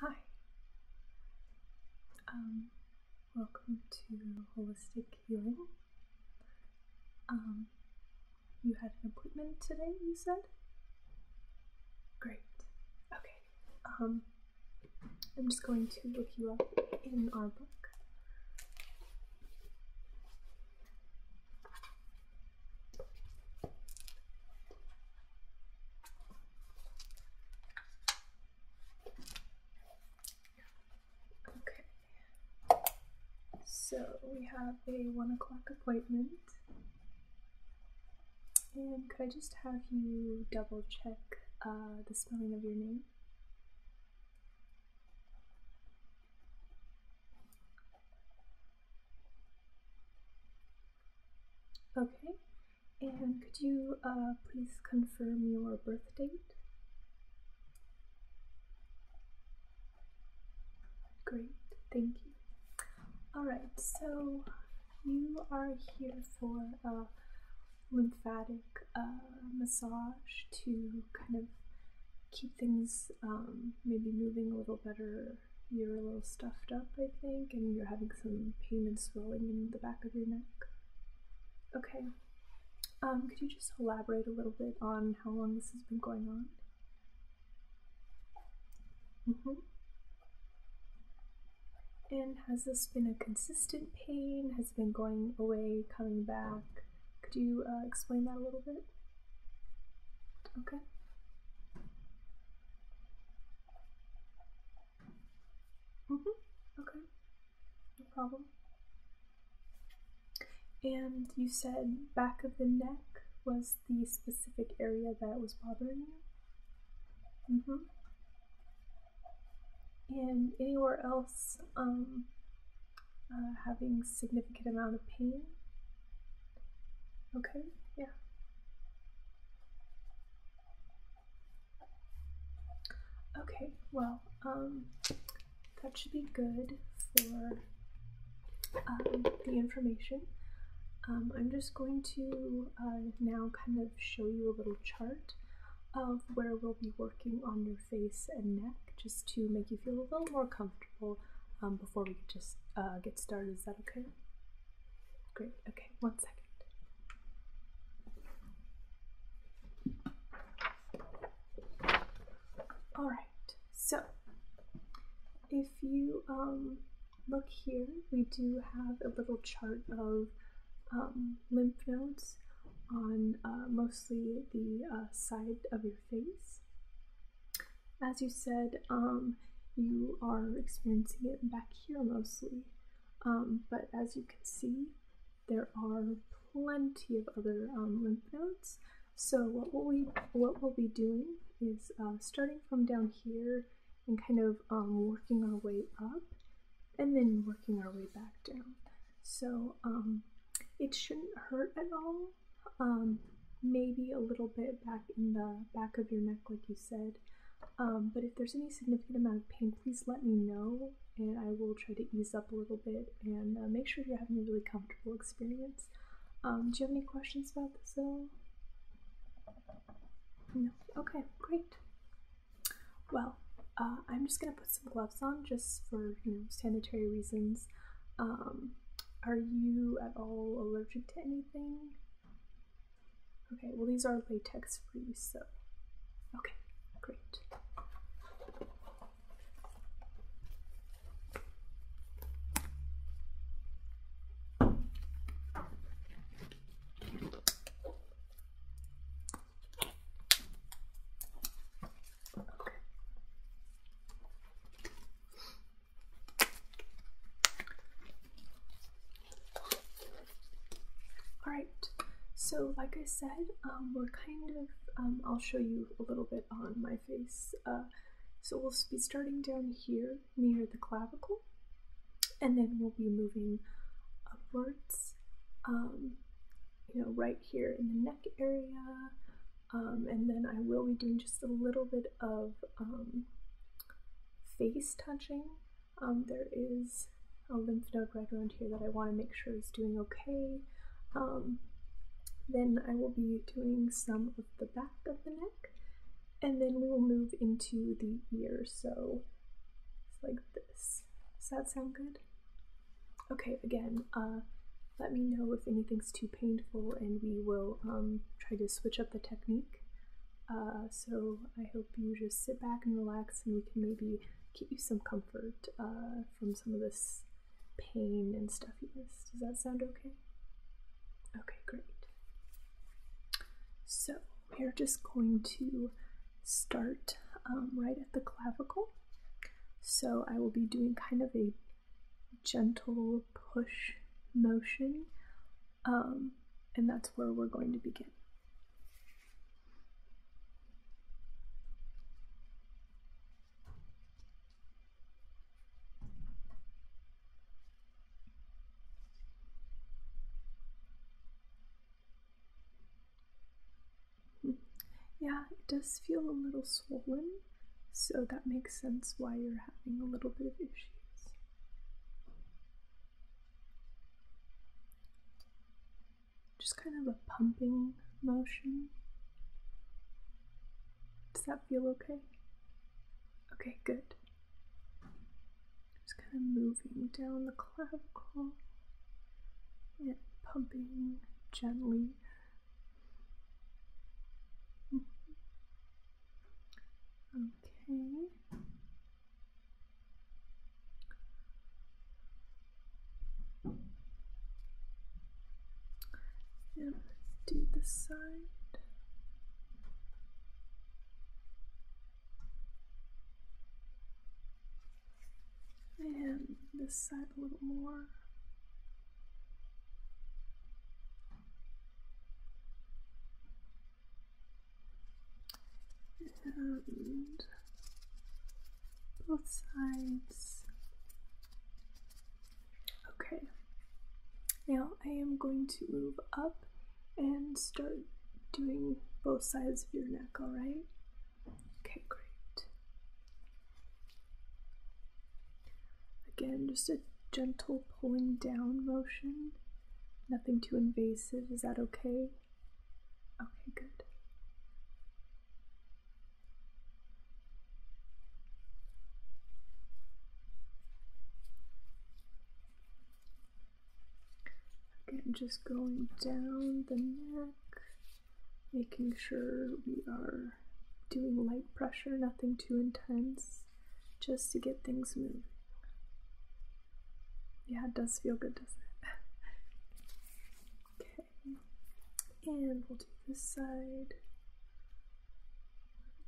Hi. Um, welcome to Holistic Healing. Um, you had an appointment today, you said? Great. Okay. Um, I'm just going to look you up in our book. Okay. So we have a one o'clock appointment. And could I just have you double check uh, the spelling of your name? Okay, and could you uh, please confirm your birth date? Great, thank you. Alright, so you are here for a lymphatic uh, massage to kind of keep things um, maybe moving a little better you're a little stuffed up, I think, and you're having some pain and swelling in the back of your neck. Okay. Um, could you just elaborate a little bit on how long this has been going on? hmm And has this been a consistent pain? Has it been going away, coming back? Could you uh, explain that a little bit? Okay. Mm hmm Okay. No problem. And you said back of the neck was the specific area that was bothering you? Mm hmm And anywhere else um, uh, having significant amount of pain? Okay, yeah. Okay, well, um, that should be good for um, the information. Um, I'm just going to uh, now kind of show you a little chart of where we'll be working on your face and neck just to make you feel a little more comfortable um, before we just uh, get started. Is that okay? Great, okay, one second. All right, so if you um, look here, we do have a little chart of um, lymph nodes on uh, mostly the uh, side of your face as you said, um, you are experiencing it back here mostly. Um, but as you can see, there are plenty of other um, lymph nodes. So what we what we'll be doing is uh, starting from down here and kind of um, working our way up, and then working our way back down. So it shouldn't hurt at all. maybe a little bit back in the back of your neck, like you said, um, but if there's any significant amount of pain, please let me know, and I will try to ease up a little bit and uh, make sure you're having a really comfortable experience. Um, do you have any questions about this at all? No. Okay, great. Well, uh, I'm just gonna put some gloves on just for sanitary reasons. Um, are you at all allergic to anything? Okay, well these are latex free, so okay, great. Okay. All right, so like I said, um, we're kind of, um, I'll show you a little bit on my face. Uh, so we'll be starting down here near the clavicle, and then we'll be moving upwards, um, you know, right here in the neck area. and then I will be doing just a little bit of face touching. Um, there is a lymph node right around here that I want to make sure is doing okay. Um, then I will be doing some of the back of the neck, and then we will move into the ear, so it's like this. Does that sound good? Okay, again, uh, let me know if anything's too painful and we will um, try to switch up the technique. Uh, so I hope you just sit back and relax, and we can maybe get you some comfort uh, from some of this pain and stuffiness. Does that sound okay? Okay, great. So we're just going to start um, right at the clavicle. So I will be doing kind of a gentle push motion um, and that's where we're going to begin. Yeah, it does feel a little swollen, so that makes sense why you're having a little bit of issue. Just kind of a pumping motion. Does that feel okay? Okay, good. Just kind of moving down the clavicle and pumping gently. Mm-hmm. Okay. let's do this side. And this side a little more and both sides. Okay, now I am going to move up and start doing both sides of your neck, alright? Okay, great. Again, just a gentle pulling down motion. Nothing too invasive. Is that okay? Okay, good. Again, just going down the neck, making sure we are doing light pressure, nothing too intense just to get things moving. Yeah, it does feel good, doesn't it? okay, and we'll do this side.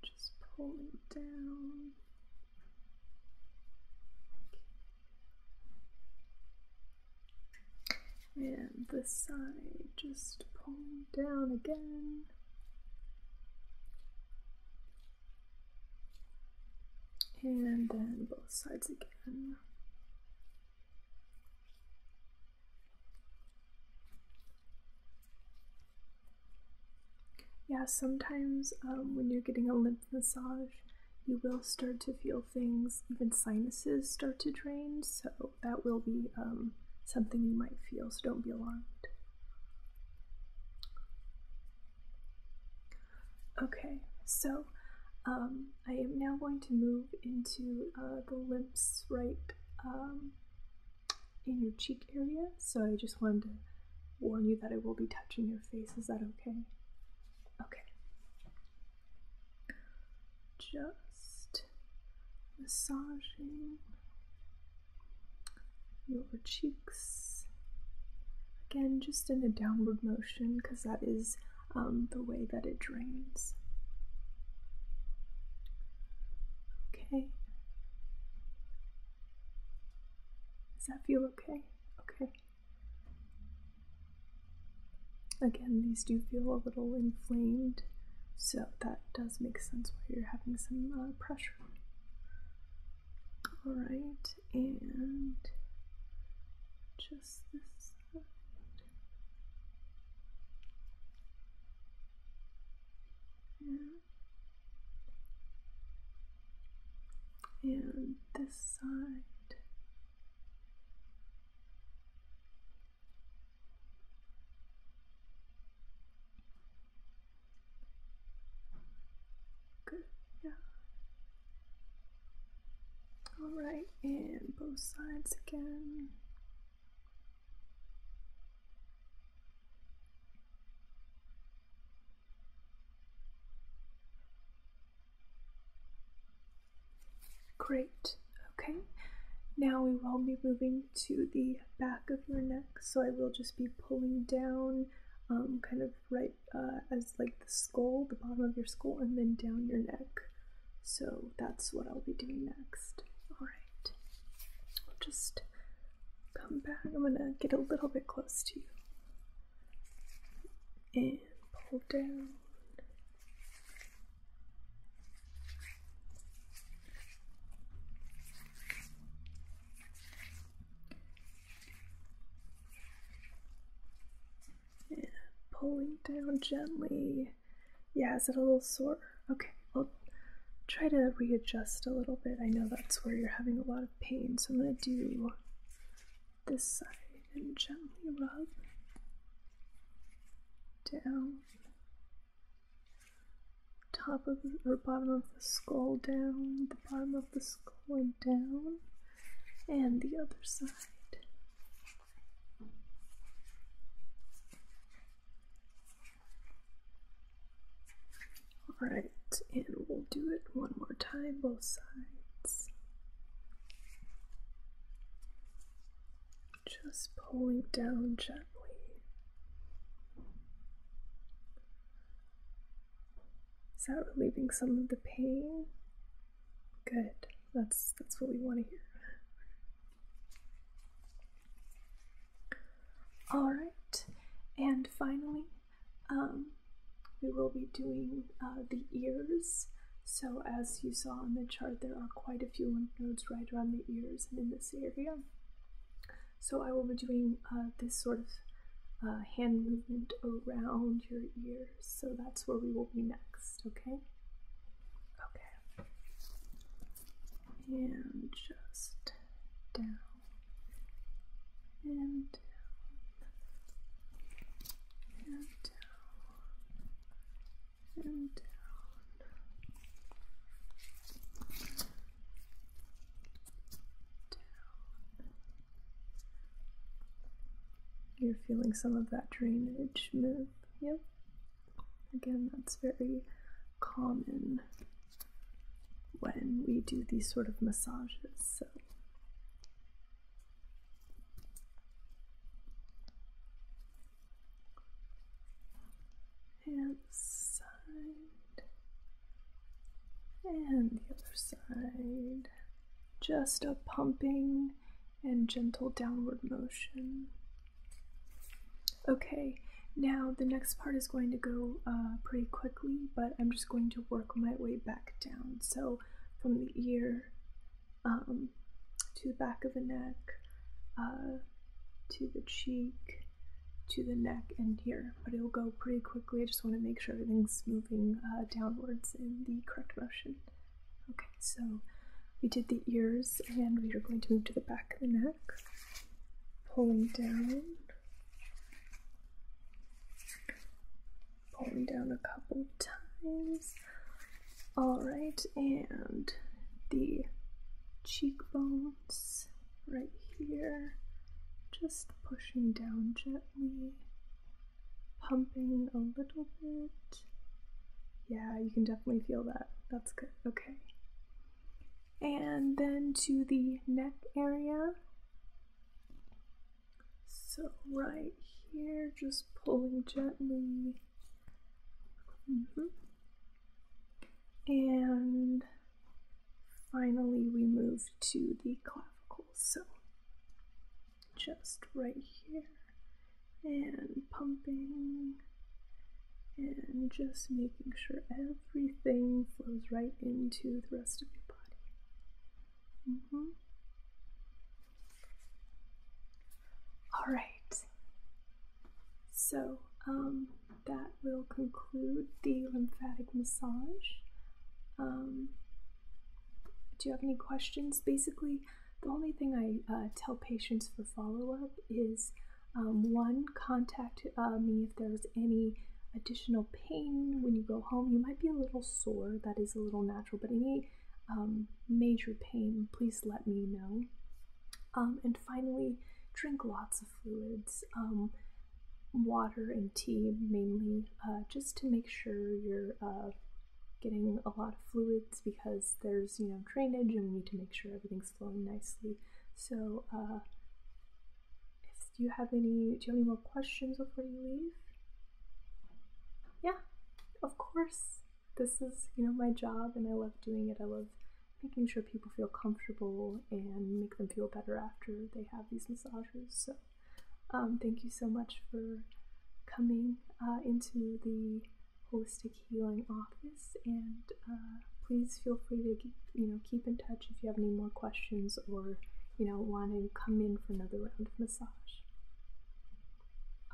Just pull it down. And this side, just pulling down again and then both sides again. Yeah, sometimes um, when you're getting a lymph massage, you will start to feel things, even sinuses start to drain, so that will be um, something you might feel, so don't be alarmed. Okay, so um, I am now going to move into uh, the lips right um, in your cheek area. So I just wanted to warn you that I will be touching your face. Is that okay? Okay. Just massaging your cheeks. Again, just in a downward motion because that is um, the way that it drains. Okay. Does that feel okay? Okay. Again, these do feel a little inflamed, so that does make sense why you're having some uh, pressure all right, and just this side. And this side. Good, yeah. Alright, and both sides again. Great, okay. Now we will be moving to the back of your neck. So I will just be pulling down um, kind of right uh, as like the skull, the bottom of your skull, and then down your neck. So that's what I'll be doing next. Alright, I'll just come back. I'm gonna get a little bit close to you and pull down pulling down gently. Yeah, is it a little sore? Okay, I'll try to readjust a little bit. I know that's where you're having a lot of pain, so I'm going to do this side and gently rub down top of or bottom of the skull down, the bottom of the skull and down, and the other side. Alright, and we'll do it one more time, both sides. Just pulling down gently. Is that relieving some of the pain? Good. That's that's what we want to hear. All right, and finally, um, we will be doing uh, the ears. So as you saw on the chart, there are quite a few lymph nodes right around the ears and in this area. So I will be doing uh, this sort of uh, hand movement around your ears. So that's where we will be next, okay? Okay. And just down and down and down and down. You're feeling some of that drainage move. Yep. Again, that's very common when we do these sort of massages. So and side and the other side. Just a pumping and gentle downward motion. Okay, now the next part is going to go uh, pretty quickly, but I'm just going to work my way back down. So from the ear um, to the back of the neck, uh, to the cheek, to the neck and here, but it will go pretty quickly. I just want to make sure everything's moving uh, downwards in the correct motion. Okay, so we did the ears and we are going to move to the back of the neck, pulling down, pulling down a couple times. All right, and the cheekbone right here, just pushing down gently, pumping a little bit. Yeah, you can definitely feel that. That's good. Okay. And then to the neck area. So, right here, just pulling gently. -hmm. And finally we move to the clavicles. So just right here and pumping and just making sure everything flows right into the rest of your body. -hmm. All right. So, um, that will conclude the lymphatic massage. Um, do you have any questions? Basically, the only thing I uh, tell patients for follow up is um, one, contact uh, me if there's any additional pain when you go home. You might be a little sore, that is a little natural, but any um, major pain, please let me know. Um, and finally, drink lots of fluids, um, water and tea mainly, uh, just to make sure you're uh, getting a lot of fluids because there's, you know, drainage and we need to make sure everything's flowing nicely. So, do uh, you have any, do you have any more questions before you leave? Yeah, of course. This is, you know, my job and I love doing it. I love making sure people feel comfortable and make them feel better after they have these massages. So, um, thank you so much for coming uh, into the holistic healing office, and uh, please feel free to you know keep in touch if you have any more questions or you know want to come in for another round of massage.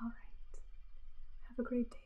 All right, have a great day.